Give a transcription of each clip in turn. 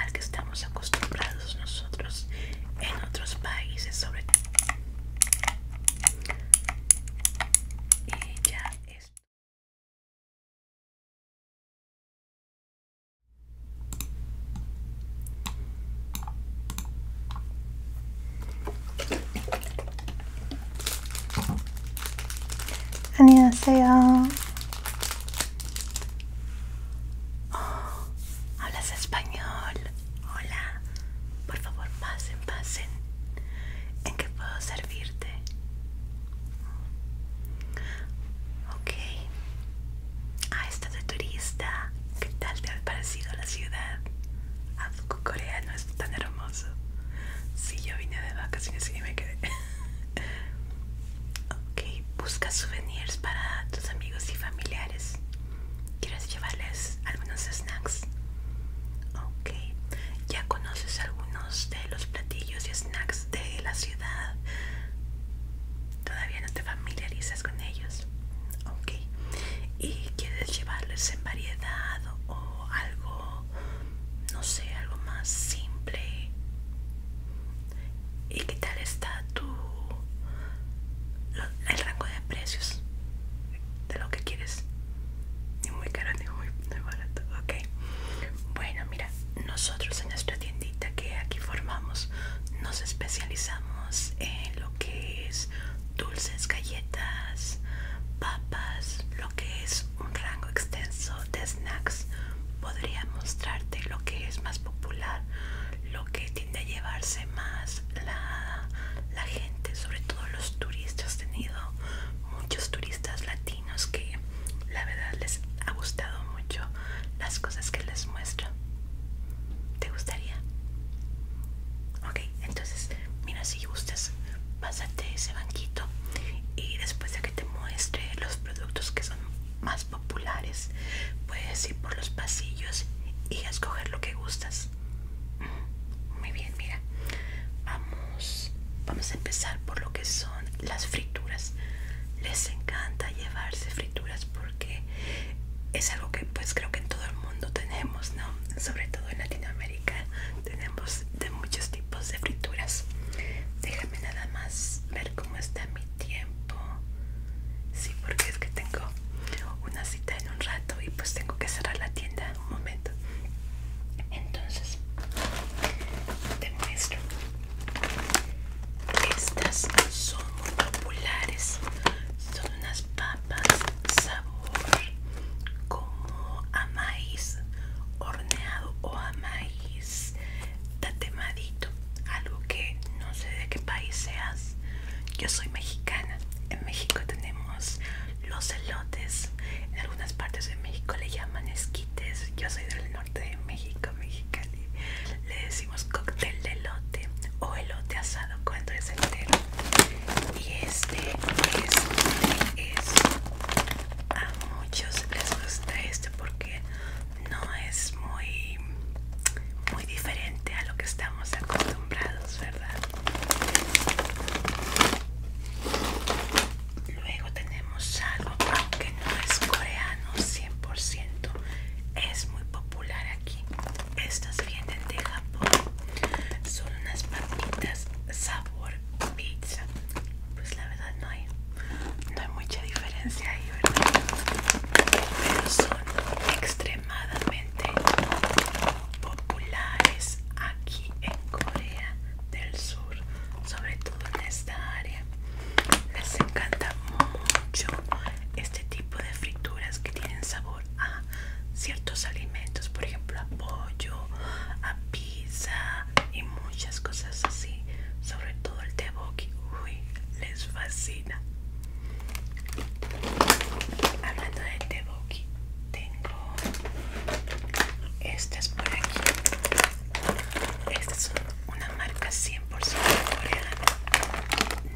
al que estamos acostumbrados nosotros en otros países sobre todo y ya es uh, Oh, Hablas español. Hola. Por favor, pasen, pasen. ¿En qué puedo servirte? Ok. Ah, estado de turista. ¿Qué tal te ha parecido la ciudad? Ah, Corea no es tan hermoso. Sí, yo vine de vacaciones y me quedé. ok, busca souvenirs para tus amigos y familiares. ¿Quieres llevarles algunos snacks? Ok, ya conoces algunos de los platillos y snacks de la ciudad. Todavía no te familiarizas con ellos. Ok, y quieres llevarles en variedad o algo, no sé, algo más simple. ¿Y qué tal está tu el rango de precios de lo que quieres? Ni muy caro ni muy barato, ok. Bueno, mira, nosotros en nuestra tiendita que aquí formamos nos especializamos en lo que es dulces, galletas, papas, lo que es un rango extenso de snacks. Podría mostrarte lo que es más popular lo que tiende a llevarse más la, la gente sobre todo los turistas he tenido muchos turistas latinos que la verdad les ha gustado mucho las cosas que les muestro te gustaría ok entonces mira si gustas pásate ese banquito y después de que te muestre los productos que son más populares. Puedes ir por los pasillos y escoger lo que gustas. Mm, muy bien, mira. Vamos, vamos a empezar por lo que son las frituras. Les encanta llevarse frituras porque es algo que pues creo que en todo el mundo tenemos, ¿no? Sobre todo en Latinoamérica tenemos de muchos tipos de frituras. Déjame nada más ver cómo está mi tiempo. Sí, porque es que tengo una cita en un rato y pues tengo que cerrar la tienda un momento. Entonces, te muestro. Estas son muy populares. Son unas papas sabor como a maíz horneado o a maíz tatemadito, algo que no sé de qué país seas. Yo soy mexicana. En México tenemos los elotes. En algunas partes de México le llaman esquites. Yo soy del norte de México, Mexicali. Le decimos cóctel de elote o elote asado cuando es entero. Y este es, es a muchos les gusta este porque no es muy muy diferente a lo que estamos acostumbrados, ¿verdad? Luego tenemos algo aunque no es coreano 100%, es muy popular aquí. Estas vienen de Japón. Son unas papitas sabor pizza. Pues la verdad no hay no hay mucha diferencia ahí, ¿verdad? Pero son extremadamente populares aquí en Corea del Sur, sobre todo en esta área. Les encanta mucho este tipo de frituras que tienen sabor a ciertos alimentos, por ejemplo, a pollo, a pizza y muchas cosas así, sobre todo el teboki Uy, les fascina. Hablando de teboki, tengo estas por aquí. Estas son una marca 100% coreana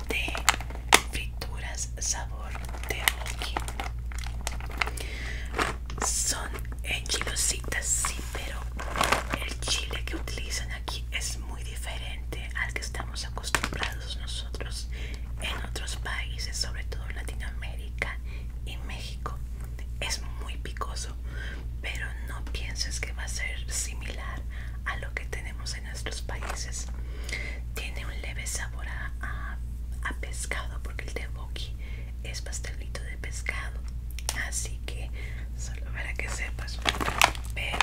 de frituras sabor teboki. Son enchilositas, sí, pero el chile que utilizan es muy diferente al que estamos acostumbrados nosotros en otros países, sobre todo en Latinoamérica y México. Es muy picoso, pero no pienses que va a ser similar a lo que tenemos en nuestros países. Tiene un leve sabor a, pescado porque el teboki es pastelito de pescado, así que solo para que sepas pero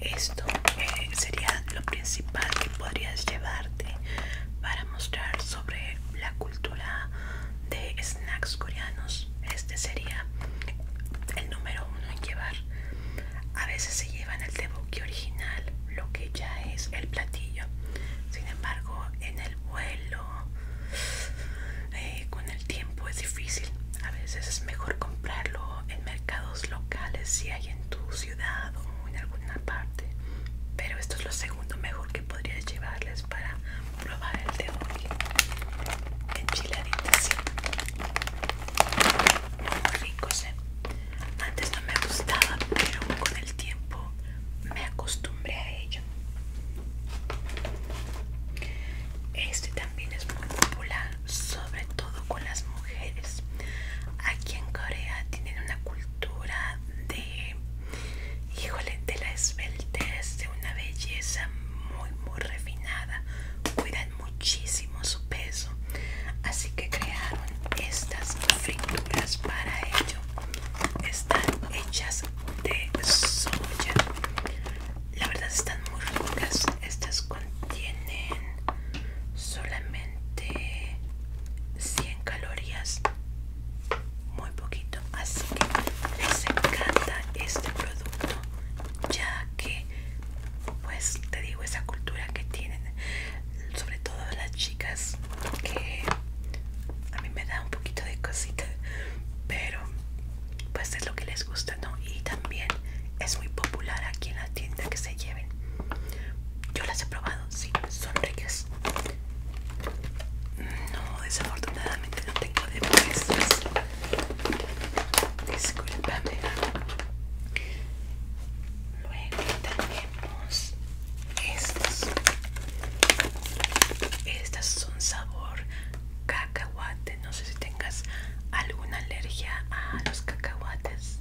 esto eh, sería lo principal que podrías llevarte para mostrar sobre la cultura de snacks coreanos este sería el número uno en llevar a veces se llevan el tteokbokki original lo que ya es el platillo sin embargo en el vuelo eh, con el tiempo es difícil a veces es mejor comprarlo en mercados locales si hay en tu ciudad o en alguna parte. Pero esto es lo segundo mejor que podrías llevarles para probar el de hoy. Chile sí. Muy ricos, Antes no me gustaba, pero con el tiempo me acostumbré a ello. Este también es muy popular sobre todo con las mujeres. Aquí en Corea tienen una cultura de, híjole, de la esbeltez, de una belleza muy, muy refinada. Cuidan muchísimo su peso. Así que crearon estas frituras para ello. Están hechas de soya la verdad están muy ricas estas contienen solamente 100 calorías muy poquito así que les encanta este producto ya que pues te digo esa cultura que tienen sobre todo las chicas que a mí me da un poquito de cosita pero pues es lo que les gusta, ¿no? Y también es muy popular aquí en la tienda que se lleven. Yo las he probado, sí, son ricas. No, desafortunadamente no tengo de puestas. Disculpame. Luego tenemos estos Estas son sabor cacahuate no sé si tengas alguna alergia a los cacahuates.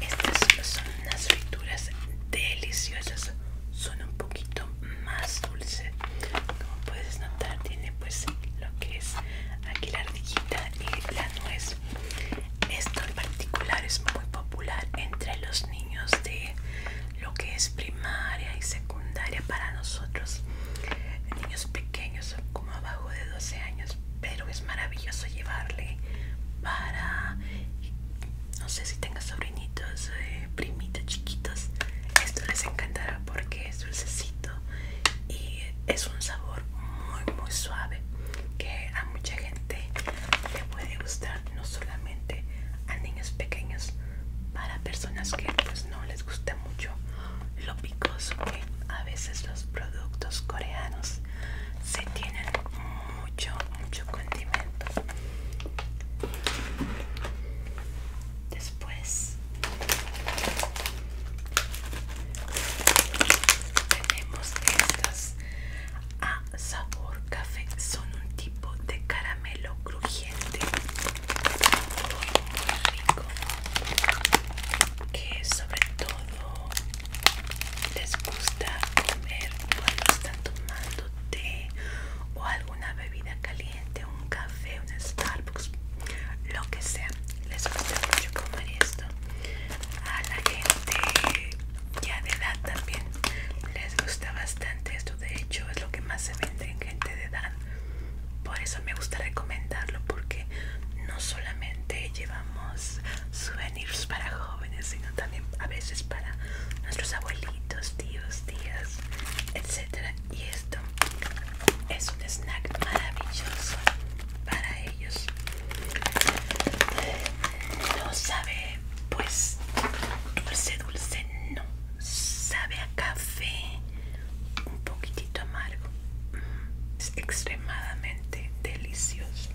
Estas son unas frituras deliciosas. Son un poquito más dulces. Como puedes notar, tiene pues lo que es aquí la ardillita y la nuez. Esto en particular es muy popular entre los niños de lo que es primaria y secundaria para nosotros. Niños pequeños como abajo de 12 años pero es maravilloso llevarle para no sé si tenga sobrinitos eh, primitos chiquitos esto les encantará porque es dulcecito y es un sabor muy muy suave que a mucha gente le puede gustar no solamente a niños pequeños para personas que pues no les gusta mucho lo picoso que a veces los productos coreanos se tienen mucho mucho condimento después tenemos estas a sabor café son un tipo de caramelo crujiente que sobre todo les gusta comer cuando están tomando té o alguna bebida caliente, un café, un Starbucks, lo que sea. Les gusta mucho comer esto. A la gente ya de edad también les gusta bastante esto. De hecho, es lo que más se vende en gente de edad por eso me gusta recomendarlo porque no solamente llevamos souvenirs para jóvenes, sino también a veces para nuestros abuelitos, tíos, tías, etcétera. Y esto es un snack maravilloso para ellos. No sabe, pues, dulce, dulce, no. Sabe a café, un poquitito amargo mm, es extremadamente delicioso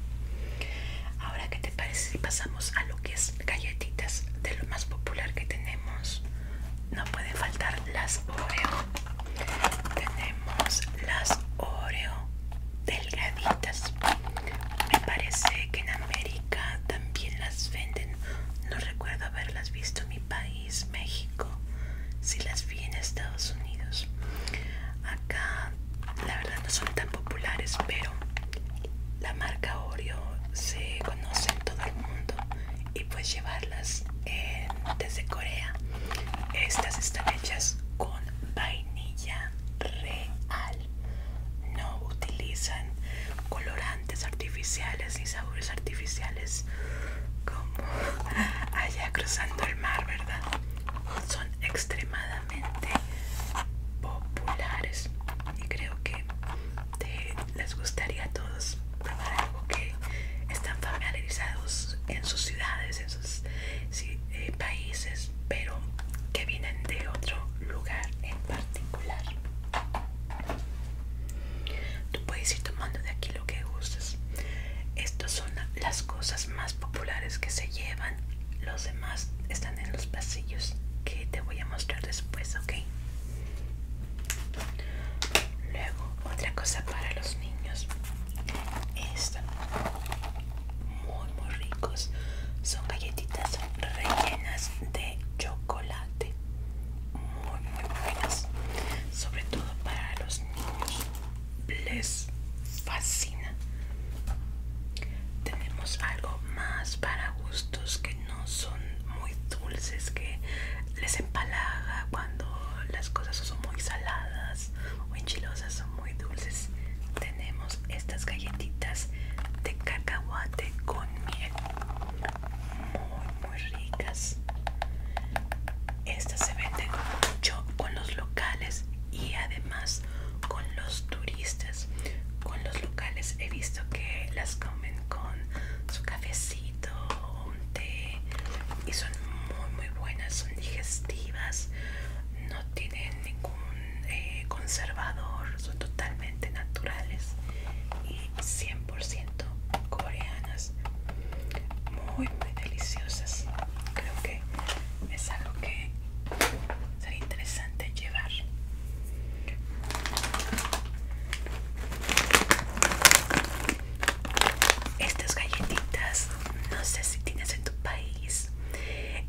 ahora que te parece si pasamos a lo que es galletitas de lo más popular que tenemos no pueden faltar las oreo tenemos las oreo delgaditas me parece que en américa también las venden no recuerdo haberlas visto en mi país México, si las vi en Estados Unidos. Acá, la verdad, no son tan populares, pero la marca Oreo se conoce en todo el mundo y puedes llevarlas desde Corea. Estas están hechas con vainilla real, no utilizan colorantes artificiales y sabores artificiales como allá cruzando el mar, ¿verdad? Son extremadamente populares y creo que les gustaría a todos probar algo que están familiarizados en sus ciudades, en sus eh, países, pero que vienen de otro lugar en particular. Tú puedes ir tomando de aquí que gustes. Estas son las cosas más populares que se llevan. Los demás están en los pasillos que te voy a mostrar después, ¿ok? Luego, otra cosa para los niños. Muy, muy ricos. Son galletitas rellenas de chocolate. Muy, muy buenas. Sobre todo para los les fascina. Tenemos algo más para gustos que no son muy dulces, que les empalaga cuando las cosas son muy saladas o enchilosas, son muy dulces. Tenemos estas galletitas de cacahuate con miel. Muy muy ricas estas se venden mucho con los locales y además con los turistas con los locales he visto que las comen con su cafecito un té y son muy muy buenas son digestivas no tienen ningún eh, conservador son totalmente naturales y 100% coreanas muy muy deliciosas creo que es algo que sería interesante llevar estas galletitas no sé si tienes en tu país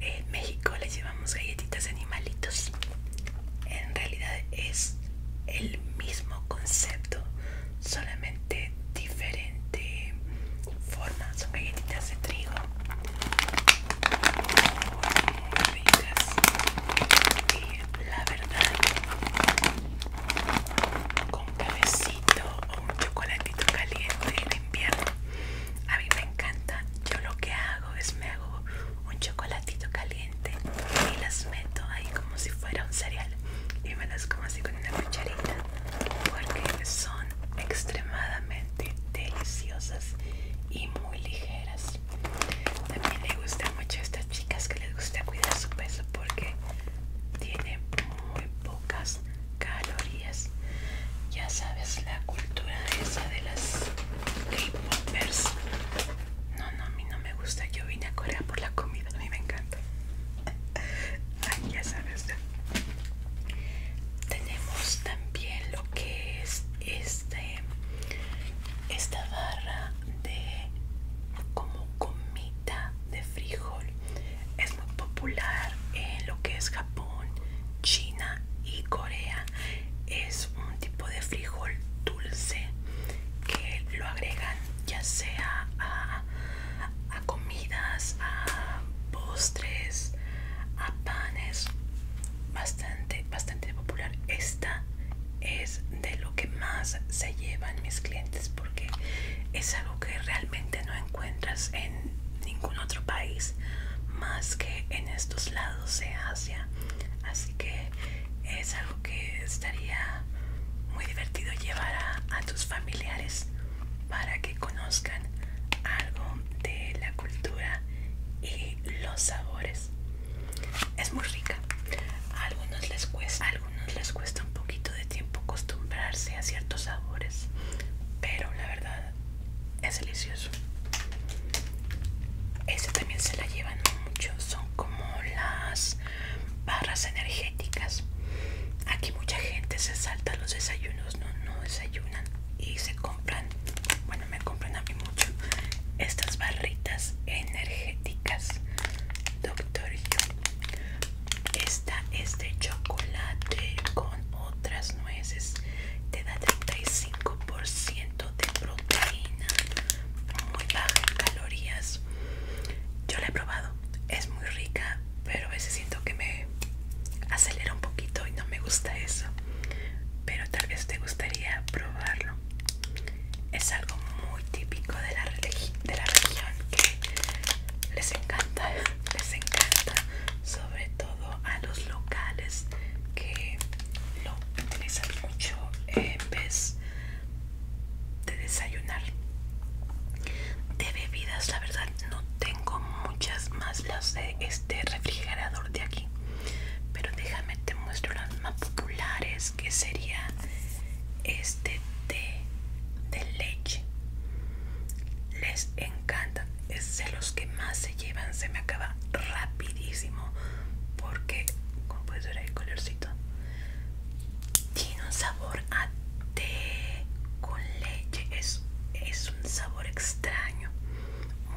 en México les llevamos galletitas de animalitos en realidad es el mismo concepto solamente diferente forma son galletitas de trigo y la verdad con un cafecito o un chocolatito caliente en invierno a mí me encanta yo lo que hago es me hago un chocolatito caliente y las meto ahí como si fuera un cereal y me las como así con una cuchara porque son extremadamente deliciosas y muy ligeras. También le gusta mucho a estas chicas que les gusta cuidar su peso porque tiene muy pocas calorías. Ya sabes la cultura esa de las k No, no, a mí no me gusta. Yo vine a Corea por la comida. A mí me encanta ya sabes. Tenemos también lo que es este esta barra de como comita de frijol. Es muy popular en lo que es Japón, China y Corea. Es un tipo de frijol dulce que lo agregan ya sea a, comidas, a postres, a panes. Bastante, bastante popular. Esta es de lo que más se llevan mis clientes porque es algo que realmente no encuentras en ningún otro país más que en estos lados de Asia. Así que es algo que estaría muy divertido llevar a, a tus familiares para que conozcan algo de la cultura y los sabores. Es muy rica. A algunos les cuesta, algunos les cuesta un poquito de tiempo acostumbrarse a ciertos sabores, pero la verdad es delicioso. Eso también se la llevan mucho, son como las barras energéticas. Aquí mucha gente se salta los desayunos, no, no desayunan y se compran, bueno me compran a mí mucho, estas barritas energéticas. Doctor Esta es de chocolate con otras nueces. Te da 35% de proteína. Muy baja en calorías. Yo la he probado. Es muy rica pero a veces siento que me acelera un poquito y no me gusta eso pero tal vez te gustaría probarlo es algo muy típico de la, de la región que les encanta les encanta sobre todo a los locales que lo utilizan mucho en vez de desayunar de bebidas la verdad no tengo muchas más las de este refrigerador de aquí pero déjame te muestro las más populares que sería este té de leche les encanta es de los que más se llevan se me acaba rapidísimo porque como puedes ver el colorcito tiene un sabor a té con leche. Es, un sabor extraño.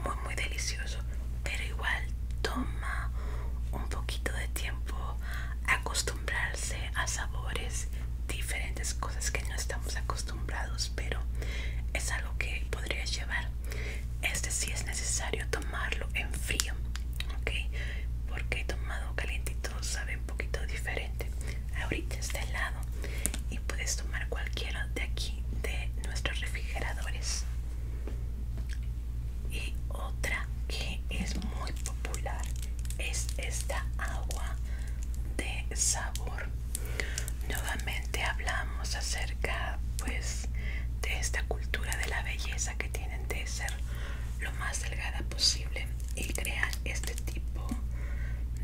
Muy, muy delicioso. Pero igual toma un poquito de tiempo acostumbrarse a sabores diferentes, cosas que no estamos acostumbrados, pero es algo que podrías llevar. Este sí es necesario tomarlo en frío, ¿ok? Porque he tomado calientito sabe un poquito diferente. Ahorita está helado y puedes tomar cualquiera de aquí de nuestros refrigeradores. Y otra que es muy popular es esta agua de sabor. Nuevamente hablamos acerca pues de esta cultura de la belleza que tienen de ser lo más delgada posible y crea este tipo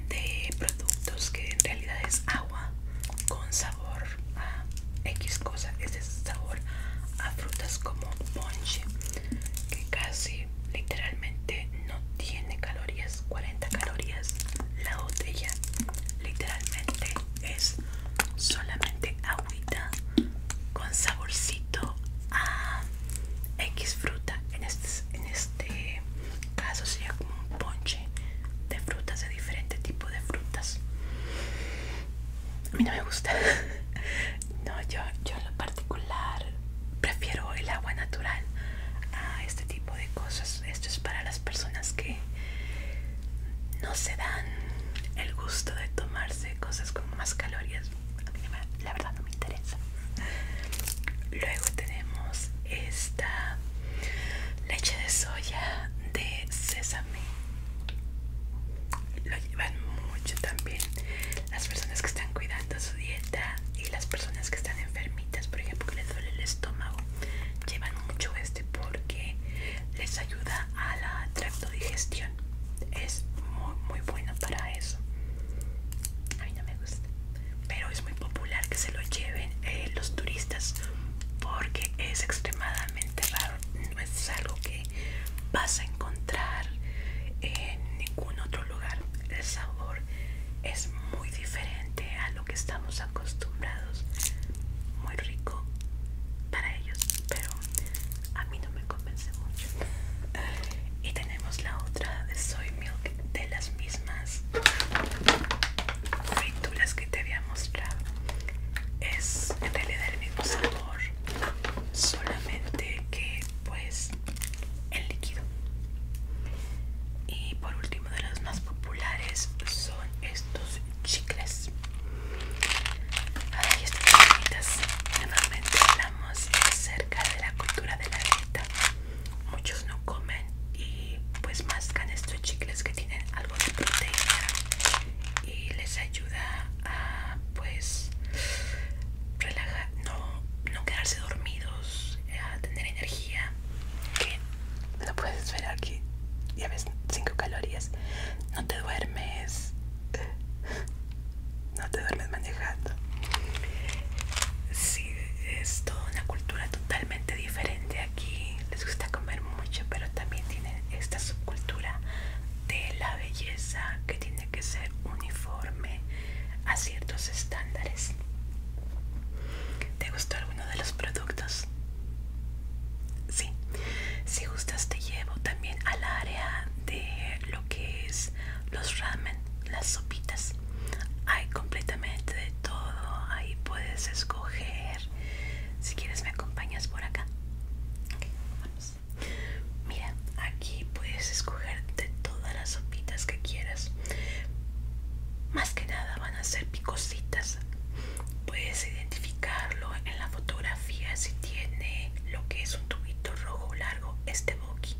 de productos que en realidad es agua con sabor a X cosa, este es sabor a frutas como ponche que casi literalmente no tiene calorías, 40 calorías la botella, literalmente es solamente agüita con saborcito a X fruta, en este pues, en este caso sería como un ponche de frutas de diferente tipo de frutas a mí no me gusta no yo, yo en lo particular prefiero el agua natural a este tipo de cosas esto es para las personas que no se dan el gusto de tomarse cosas con más calorías a mí la verdad no me interesa. Luego tenemos esta leche de soya de sésame. Lo llevan mucho también las personas que están cuidando su dieta y las personas que están enfermitas, por ejemplo, que les duele el estómago, llevan mucho este porque les ayuda a la tractodigestión. Es muy, muy bueno para eso. A mí no me gusta pero es muy popular que se lo lleven eh, los turistas porque es extremadamente raro, no es algo que vas a encontrar en ningún otro lugar. El sabor es muy diferente a lo que estamos acostumbrados, muy rico para ellos, pero a mí no me convence mucho. Y tenemos la otra de soy de las mismas frituras que te había mostrado es en realidad el mismo sabor solamente que pues el líquido y por último de los más populares son estos chicles y estas bonitas normalmente hablamos acerca de la cultura de la dieta muchos no comen y pues mascan estos chicles que tienen algo de proteína y les ayuda a pues relajar, no, no quedarse dormidos, eh, a tener energía. Que no puedes esperar que ya ves 5 calorías, no te duermes no te duermes manejando. Sí, es toda una cultura totalmente diferente aquí. Les gusta comer mucho, pero también tienen esta subcultura de la belleza que tiene que ser uniforme a ciertos estándares. ¿Te gustó alguno de los productos? Sí, si gustas te llevo también al área de que es los ramen, las sopitas. Hay completamente de todo, ahí puedes escoger. Si quieres me acompañas por acá. Mira, aquí puedes escoger de todas las sopitas que quieras. Más que nada van a ser picositas. Puedes identificarlo en la fotografía si tiene lo que es un tubito rojo largo. Este aquí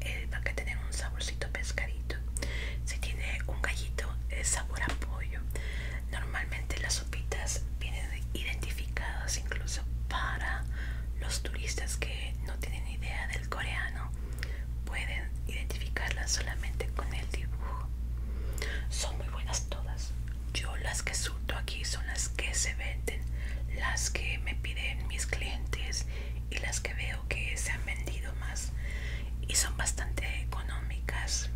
eh, va a tener un saborcito pescadito si tiene un gallito es sabor a pollo normalmente las sopitas vienen identificadas incluso para los turistas que no tienen idea del coreano pueden identificarlas solamente con el dibujo son muy buenas todas yo las que surto aquí son las que se venden las que me piden mis clientes y las que veo que se han vendido más y son bastante económicas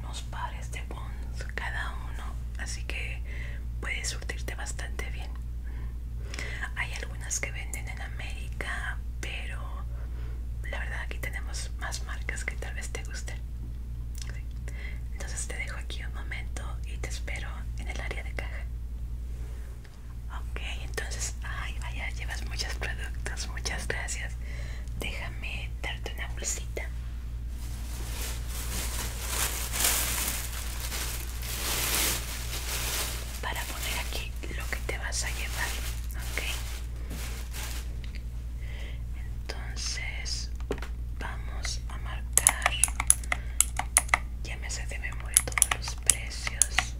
unos pares de bonds cada uno así que puedes surtirte bastante bien hay algunas que venden en América pero la verdad aquí tenemos más marcas que tal vez te gusten entonces te dejo aquí un momento y te espero en el área de caja Ok, entonces, ay vaya, llevas muchos productos, muchas gracias. Déjame darte una bolsita. Para poner aquí lo que te vas a llevar, ok. Entonces, vamos a marcar. Ya me sé de memoria todos los precios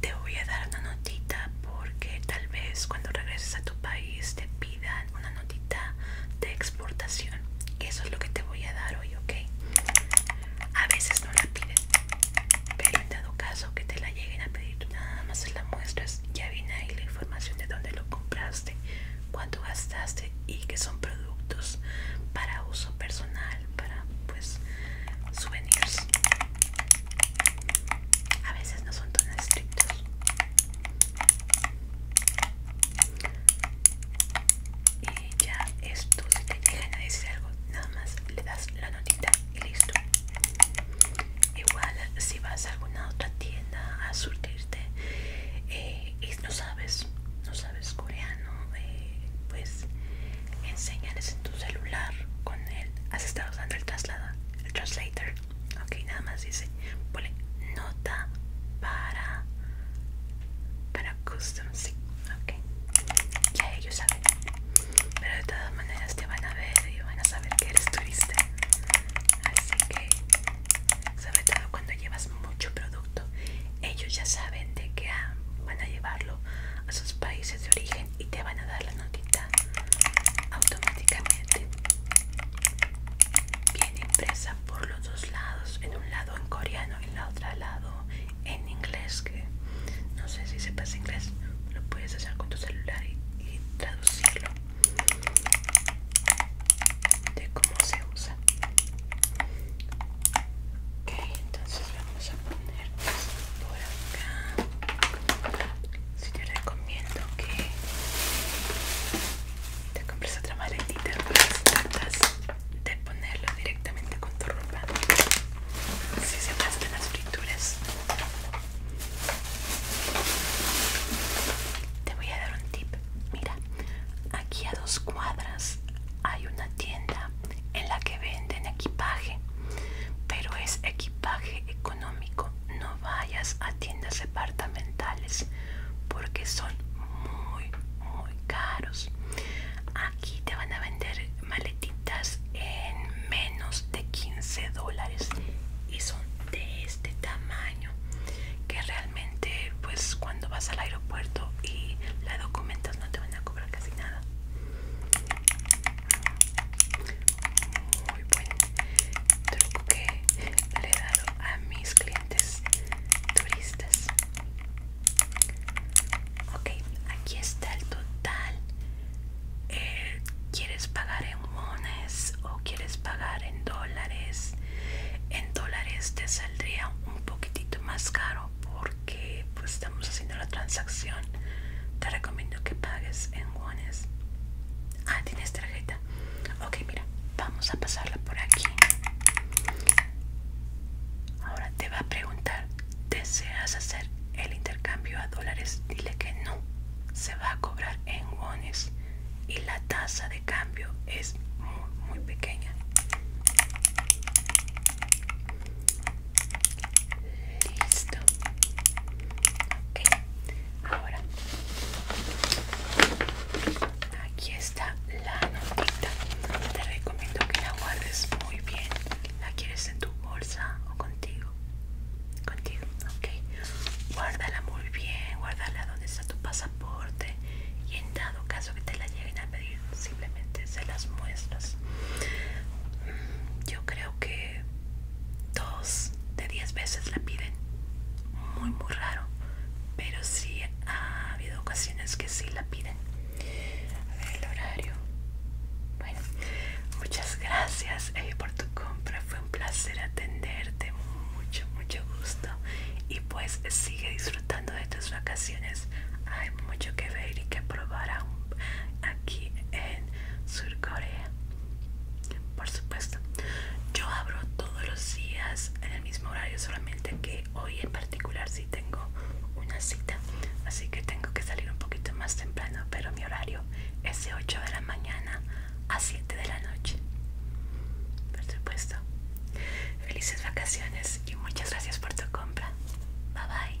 te voy a dar una notita porque tal vez cuando regreses a tu país te pidan una notita de exportación eso es lo que te voy a dar hoy ok a veces no la piden pero en dado caso que te la lleguen a pedir nada más la muestras ya viene ahí la información de dónde lo compraste cuánto gastaste y que son productos para uso personal, para pues souvenirs. A veces no son tan estrictos. Y ya esto, si te dejan a decir algo, nada más le das la notita y listo. Igual si vas a alguna otra tienda a surtirte eh, y no sabes, no sabes es coreano, eh, pues enseñales en tu celular con él. Has estado usando el el translator. Ok, nada más dice, ponle nota para para custom, sí, ok. Ya ellos saben. Pero de todas maneras te van a ver y van a saber que eres turista. Así que, sobre todo cuando llevas mucho producto ellos ya saben de que van a llevarlo a sus países de origen y te van a dar la notita automáticamente. Viene impresa por los dos lados, en un lado en coreano y en la otra lado en inglés, que no sé si se pasa inglés, lo puedes hacer con tu celular y traducirlo de cómo se usa ok entonces vamos a poner Esto por acá si te recomiendo que te compres otra maletita pues, tratas de ponerlo directamente con tu ropa si se pasan las frituras te voy a dar un tip mira aquí a dos cuadras hay una tienda en la que venden equipaje, pero es equipaje económico. No vayas a tiendas departamentales porque son muy, muy caros. Aquí te van a vender maletitas en menos de 15 dólares y son de este tamaño que realmente pues cuando vas al aeropuerto y la documentas no te van a cobrar casi nada muy buen truco que le he dado a mis clientes turistas ok aquí está el total eh, quieres pagar en mones o quieres pagar en dólares en dólares te saldría un poquitito más caro porque pues estamos haciendo la transacción te recomiendo que pagues en guanes ah tienes tarjeta ok mira vamos a pasarla por aquí ahora te va a preguntar deseas hacer el intercambio a dólares dile que no se va a cobrar en wones y la tasa de cambio es muy muy pequeña Listo. Ok. Ahora. Aquí está la notita. Te recomiendo que la guardes muy bien. ¿La quieres en tu bolsa o contigo? Contigo, ok. Guárdala muy bien. Guárdala donde está tu pasaporte. Y en dado caso que te la lleguen pedir simplemente se las muestras yo creo que dos de diez veces la piden muy muy raro pero si ha habido ocasiones que sí la piden a ver el horario bueno muchas gracias por tu compra fue un placer atenderte mucho mucho gusto y pues sigue disfrutando de tus vacaciones hay mucho que ver y que probar aquí en Sur Corea. Por supuesto, yo abro todos los días en el mismo horario, solamente que hoy en particular sí tengo una cita, así que tengo que salir un poquito más temprano, pero mi horario es de 8 de la mañana a 7 de la noche. Por supuesto. Felices vacaciones muchas gracias por tu compra. Bye bye.